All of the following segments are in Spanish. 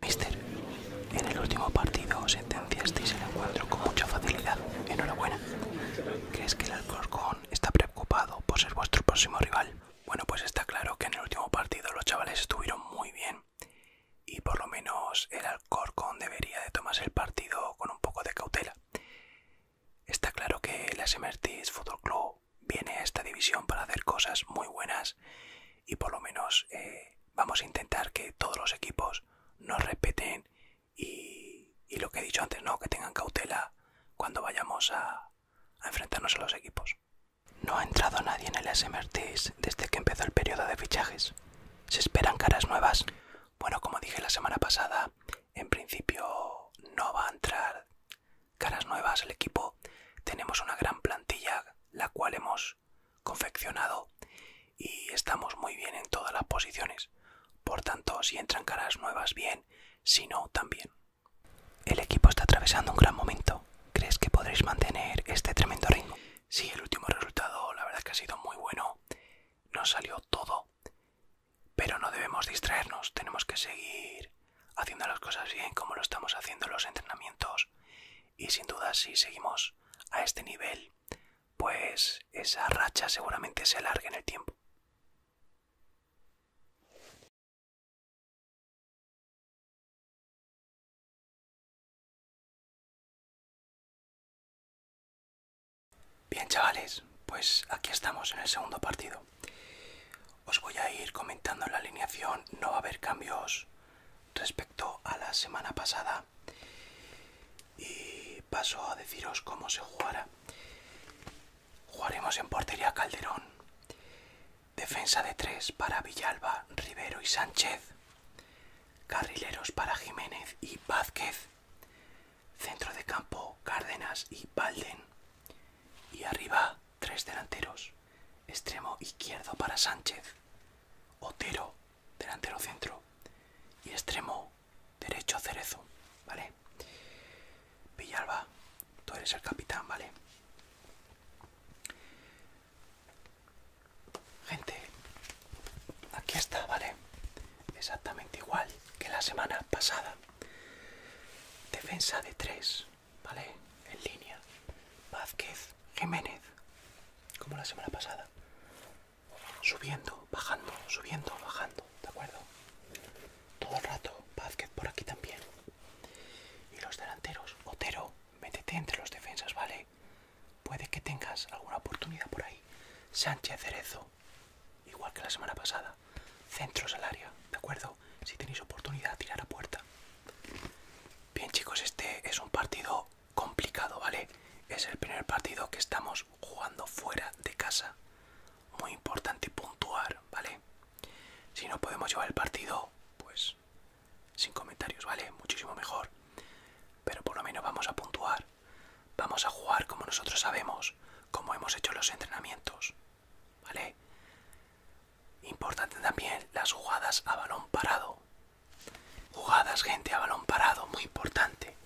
Mister, en el último partido sentenciasteis el encuentro con mucha facilidad. Enhorabuena. ¿Crees que el Alcorcón está preocupado por ser vuestro próximo rival? Bueno, pues está claro que en el último partido los chavales estuvieron muy bien y por lo menos el Alcorcón debería de tomarse el partido con un poco de cautela. Está claro que el Asemertis Football Club viene a esta división para hacer cosas muy buenas y por lo menos eh, vamos a intentar que todos los equipos nos respeten y, lo que he dicho antes, no, que tengan cautela cuando vayamos a enfrentarnos a los equipos. No ha entrado nadie en el SMRTs desde que empezó el periodo de fichajes. Se esperan caras nuevas. Bueno, como dije la semana pasada, en principio no va a entrar caras nuevas el equipo. Tenemos una gran plantilla, la cual hemos confeccionado y estamos muy bien en todas las posiciones. Por tanto, si entran caras nuevas, bien, si no, también. El equipo está atravesando un gran momento. ¿Crees que podréis mantener este tremendo ritmo? Sí, el último resultado la verdad es que ha sido muy bueno. Nos salió todo. Pero no debemos distraernos. Tenemos que seguir haciendo las cosas bien como lo estamos haciendo en los entrenamientos. Y sin duda si seguimos a este nivel, pues esa racha seguramente se alargue en el tiempo. Bien chavales, pues aquí estamos en el segundo partido. Os voy a ir comentando la alineación, no va a haber cambios respecto a la semana pasada y paso a deciros cómo se jugará. Jugaremos en portería Calderón, Defensa de tres para Villalba, Rivero y Sánchez. Carrileros para Jiménez y Vázquez. Centro de campo, Cárdenas y Balden. Y arriba, tres delanteros. Extremo izquierdo para Sánchez. Otero, delantero centro. Y extremo derecho Cerezo. ¿Vale? Villalba, tú eres el capitán, ¿vale? Gente, aquí está, ¿vale? Exactamente igual que la semana pasada. Defensa de tres, ¿vale? En línea. Vázquez, Jiménez, como la semana pasada. Subiendo, bajando, subiendo, bajando, ¿de acuerdo? Todo el rato, Vázquez por aquí también. Y los delanteros, Otero, métete entre los defensas, ¿vale? Puede que tengas alguna oportunidad por ahí. Sánchez Cerezo, igual que la semana pasada. Centros al área, ¿de acuerdo? Si tenéis oportunidad, tirar a puerta. Bien, chicos, este es un partido complicado, ¿vale? Es el primer partido que estamos jugando fuera de casa. Muy importante puntuar, ¿vale? Si no podemos llevar el partido, pues sin comentarios, ¿vale? Muchísimo mejor. Pero por lo menos vamos a puntuar. Vamos a jugar como nosotros sabemos, como hemos hecho los entrenamientos, ¿vale? Importante también las jugadas a balón parado. Jugadas, gente, a balón parado, muy importante.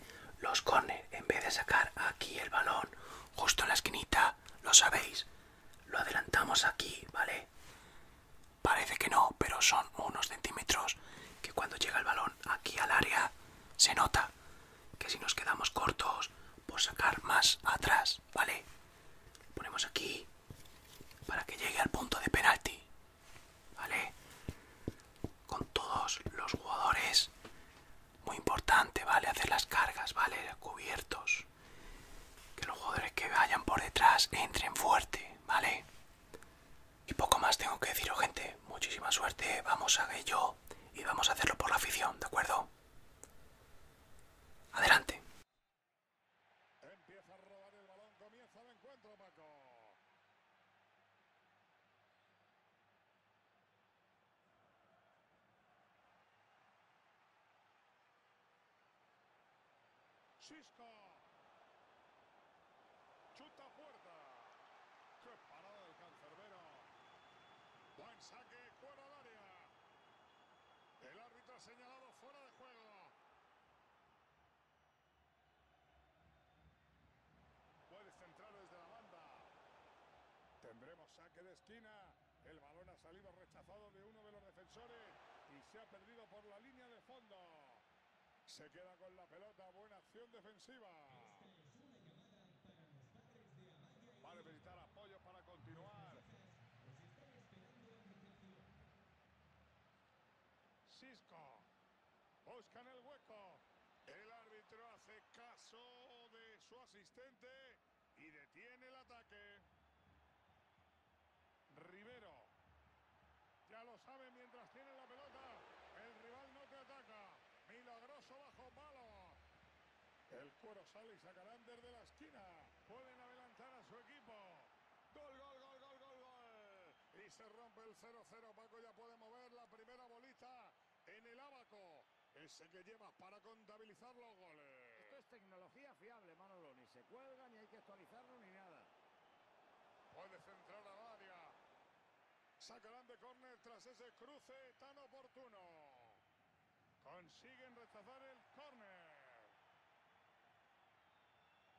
Los corners, en vez de sacar aquí el balón justo en la esquinita, lo sabéis. Lo adelantamos aquí, ¿vale? Parece que no, pero son unos centímetros que cuando llega el balón aquí al área se nota que si nos quedamos cortos por sacar más atrás, ¿vale? Ponemos aquí para que llegue al punto de penalti, ¿vale? Con todos los jugadores muy importante, ¿vale? Hacer las cargas, ¿vale? Cubiertos. Que los jugadores que vayan por detrás entren fuerte, ¿vale? Y poco más tengo que deciros, gente. Muchísima suerte, vamos a ello y vamos a hacerlo por la afición, ¿de acuerdo? Adelante. Empieza a robar el balón, comienza el encuentro, Chisco, Chuta puerta, ¡Qué parada del cancerbero! Buen saque fuera del área. El árbitro ha señalado fuera de juego. Puedes entrar desde la banda. Tendremos saque de esquina. El balón ha salido rechazado de uno de los defensores y se ha perdido por la línea de fondo. Se queda con la pelota. Buena acción defensiva. Vale a necesitar apoyo para continuar. Cisco. Buscan el hueco. El árbitro hace caso de su asistente y detiene el ataque. Rivero. Ya lo sabe mientras tiene la pelota. El rival no te ataca. Milagroso bajo palo. El cuero sale y sacarán de la esquina. Pueden adelantar a su equipo. Gol, gol, gol, gol, gol, gol. Y se rompe el 0-0. Paco ya puede mover la primera bolita en el abaco. Ese que lleva para contabilizar los goles. Esto es tecnología fiable, Manolo. Ni se cuelga, ni hay que actualizarlo, ni nada. Puede centrar a área. Sacarán de córner tras ese cruce tan oportuno. Consiguen rechazar el córner.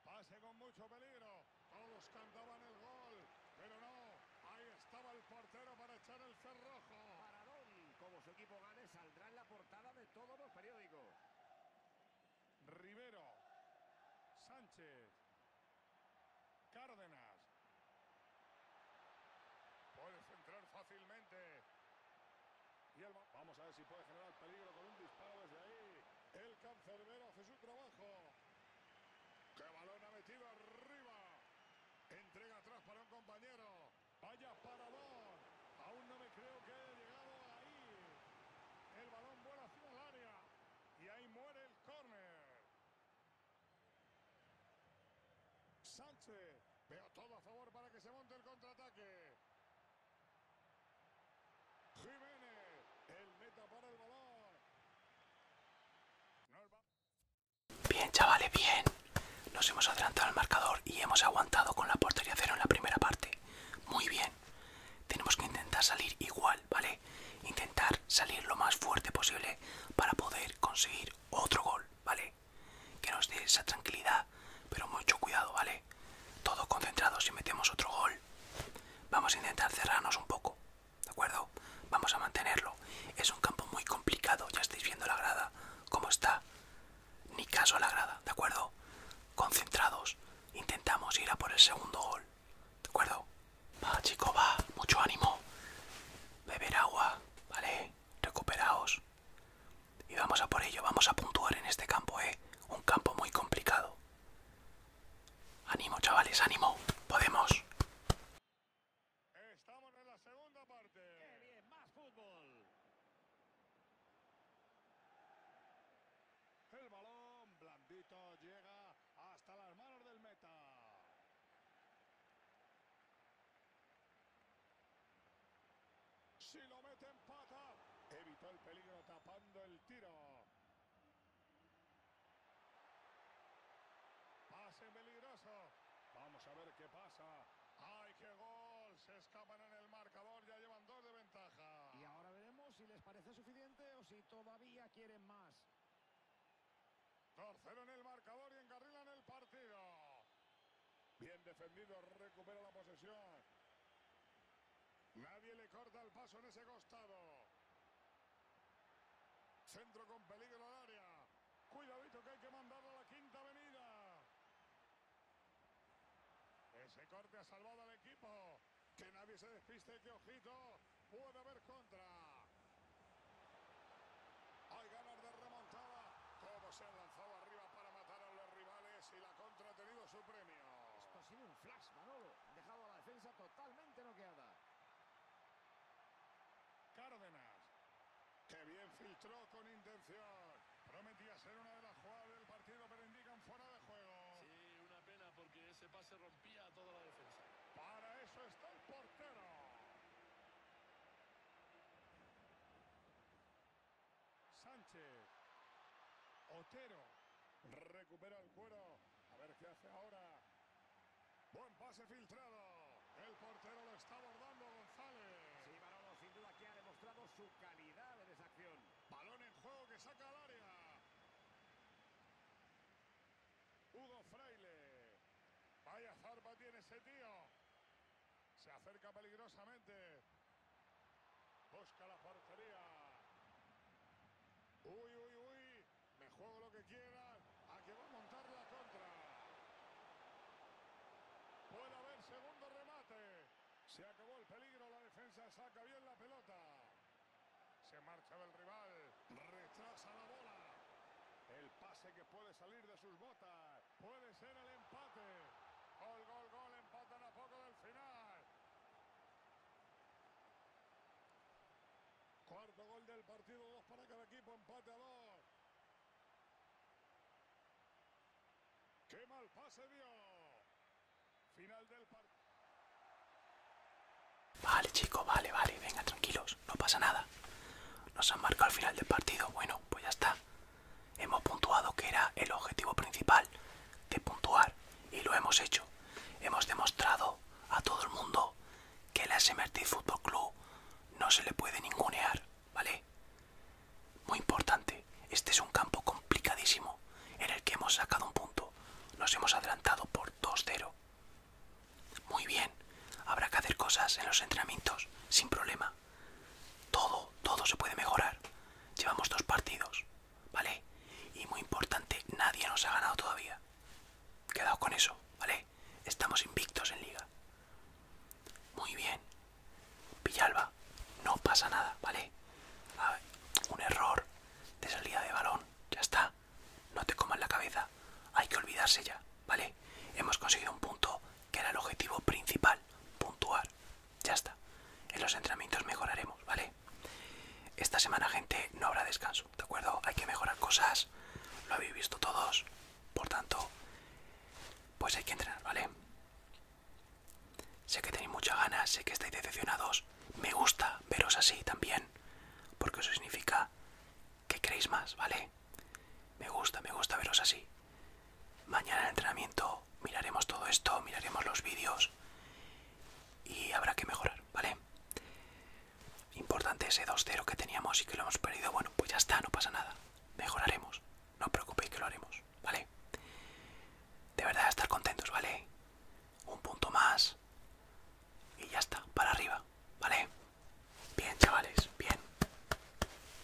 Pase con mucho peligro. Todos cantaban el gol, pero no, ahí estaba el portero para echar el cerrojo. Paradón, como su equipo gane, saldrá en la portada de todos los periódicos. Rivero, Sánchez, Cárdenas. Puede centrar fácilmente. Vamos a ver si puede generar peligro con un disparo desde ahí. El cancerbero hace su trabajo. ¡Qué balón ha metido arriba! Entrega atrás para un compañero. ¡Vaya parador Aún no me creo que haya llegado ahí. El balón vuela hacia el área. Y ahí muere el córner. Sánchez. Veo todo a favor para que se monte el contraataque. Jiménez. El meta para el balón. Bien, chavales, bien. Nos hemos adelantado al marcador y hemos aguantado con la portería cero en la primera parte. Muy bien. Tenemos que intentar salir igual, ¿vale? Intentar salir lo más fuerte posible para poder conseguir otro gol, ¿vale? Que nos dé esa tranquilidad, pero mucho cuidado, ¿vale? Todo concentrado si metemos otro gol. Vamos a intentar cerrarnos un poco, ¿De acuerdo? Vamos a mantenerlo. Es un campo muy complicado, ya estáis viendo la grada, cómo está. Ni caso a la grada, ¿de acuerdo? Concentrados, intentamos ir a por el segundo gol. ¿De acuerdo? Va, chico, va, mucho ánimo. Beber agua, ¿vale? Recuperaos. Y vamos a por ello, vamos a puntuar en este campo, ¿eh? Un campo muy complicado. Ánimo, chavales, ánimo. Podemos. Estamos en la segunda parte. más fútbol. El balón blandito llega hasta las manos del meta. Si lo mete en pata, evitó el peligro tapando el tiro. Pase peligroso. Vamos a ver qué pasa. ¡Ay, qué gol! Se escapan en el marcador, ya llevan dos de ventaja. Y ahora veremos si les parece suficiente o si todavía quieren más. Torcero en el marcador y encarrilan el partido. Bien defendido, recupera la posesión. Nadie le corta el paso en ese costado. Centro con peligro al área. Cuidadito que hay que mandarlo a la quinta avenida. Ese corte ha salvado al equipo. Que nadie se despiste, de ojito, puede haber contra. Hay ganas de remontada. Todo se ha lanzado arriba para matar a los rivales y la contra ha tenido su premio. ha sido un flash, Manolo dejado a la defensa totalmente noqueada. Cárdenas, que bien filtró con intención. Prometía ser una de las jugadas del partido, pero indican fuera de juego. Sí, una pena porque ese pase rompía toda la defensa. Para eso está el portero. Sánchez. Otero. Recupera el cuero. A ver qué hace ahora. Buen pase filtrado. El portero lo está abordando González. Sí, Barolo sin duda que ha demostrado su calidad en esa acción. Balón en juego que saca al área. Hugo Fraile. Vaya zarpa tiene ese tío. Se acerca peligrosamente. Busca la portería. Uy, uy, uy. Me juego lo que quieran. A que va a montar la contra. Puede haber segundo remate. Se acabó el peligro. La defensa saca bien la pelota. Se marcha del rival. Retrasa la bola. El pase que puede salir de sus botas. Puede ser el empate. Gol, gol, gol. Empatan a poco del final. Cuarto gol del partido, dos para cada equipo, empate a dos. ¡Qué mal pase vio. Final del partido. Vale, chico, vale, vale, venga, tranquilos, no pasa nada. Nos han marcado al final del partido, bueno, pues ya está. Hemos puntuado que era el objetivo principal de puntuar y lo hemos hecho. Hemos demostrado a todo el mundo que el SMRT Fútbol Club no se le puede ningunear, ¿vale? Muy importante, este es un campo complicadísimo en el que hemos sacado un punto. Nos hemos adelantado por 2-0. Muy bien, habrá que hacer cosas en los entrenamientos sin problema. Todo, todo se puede mejorar. Llevamos dos partidos, ¿vale? Y muy importante, nadie nos ha ganado todavía. Quedado con eso, ¿vale? Estamos invictos en liga. Muy bien. Villalba, no pasa nada, ¿vale? un error de salida de balón, ya está. No te comas la cabeza, hay que olvidarse ya, ¿vale? Hemos conseguido un punto que era el objetivo principal, puntual. Ya está. En los entrenamientos mejoraremos, ¿vale? Esta semana, gente, no habrá descanso, ¿de acuerdo? Hay que mejorar cosas, lo habéis visto todos, por tanto, pues hay que entrenar, ¿vale? Sé que tenéis muchas ganas, sé que estáis decepcionados. Me gusta veros así también, porque eso significa que queréis más, ¿vale? Me gusta, me gusta veros así. Mañana en el entrenamiento miraremos todo esto, miraremos los vídeos y habrá que mejorar, ¿vale? Importante ese 2-0 que teníamos y que lo hemos perdido. Bueno, pues ya está, no pasa nada. Mejoraremos. No os preocupéis que lo haremos, ¿vale? De verdad, estar contentos, ¿vale? Un punto más y ya está, para arriba, ¿vale? Bien, chavales, bien.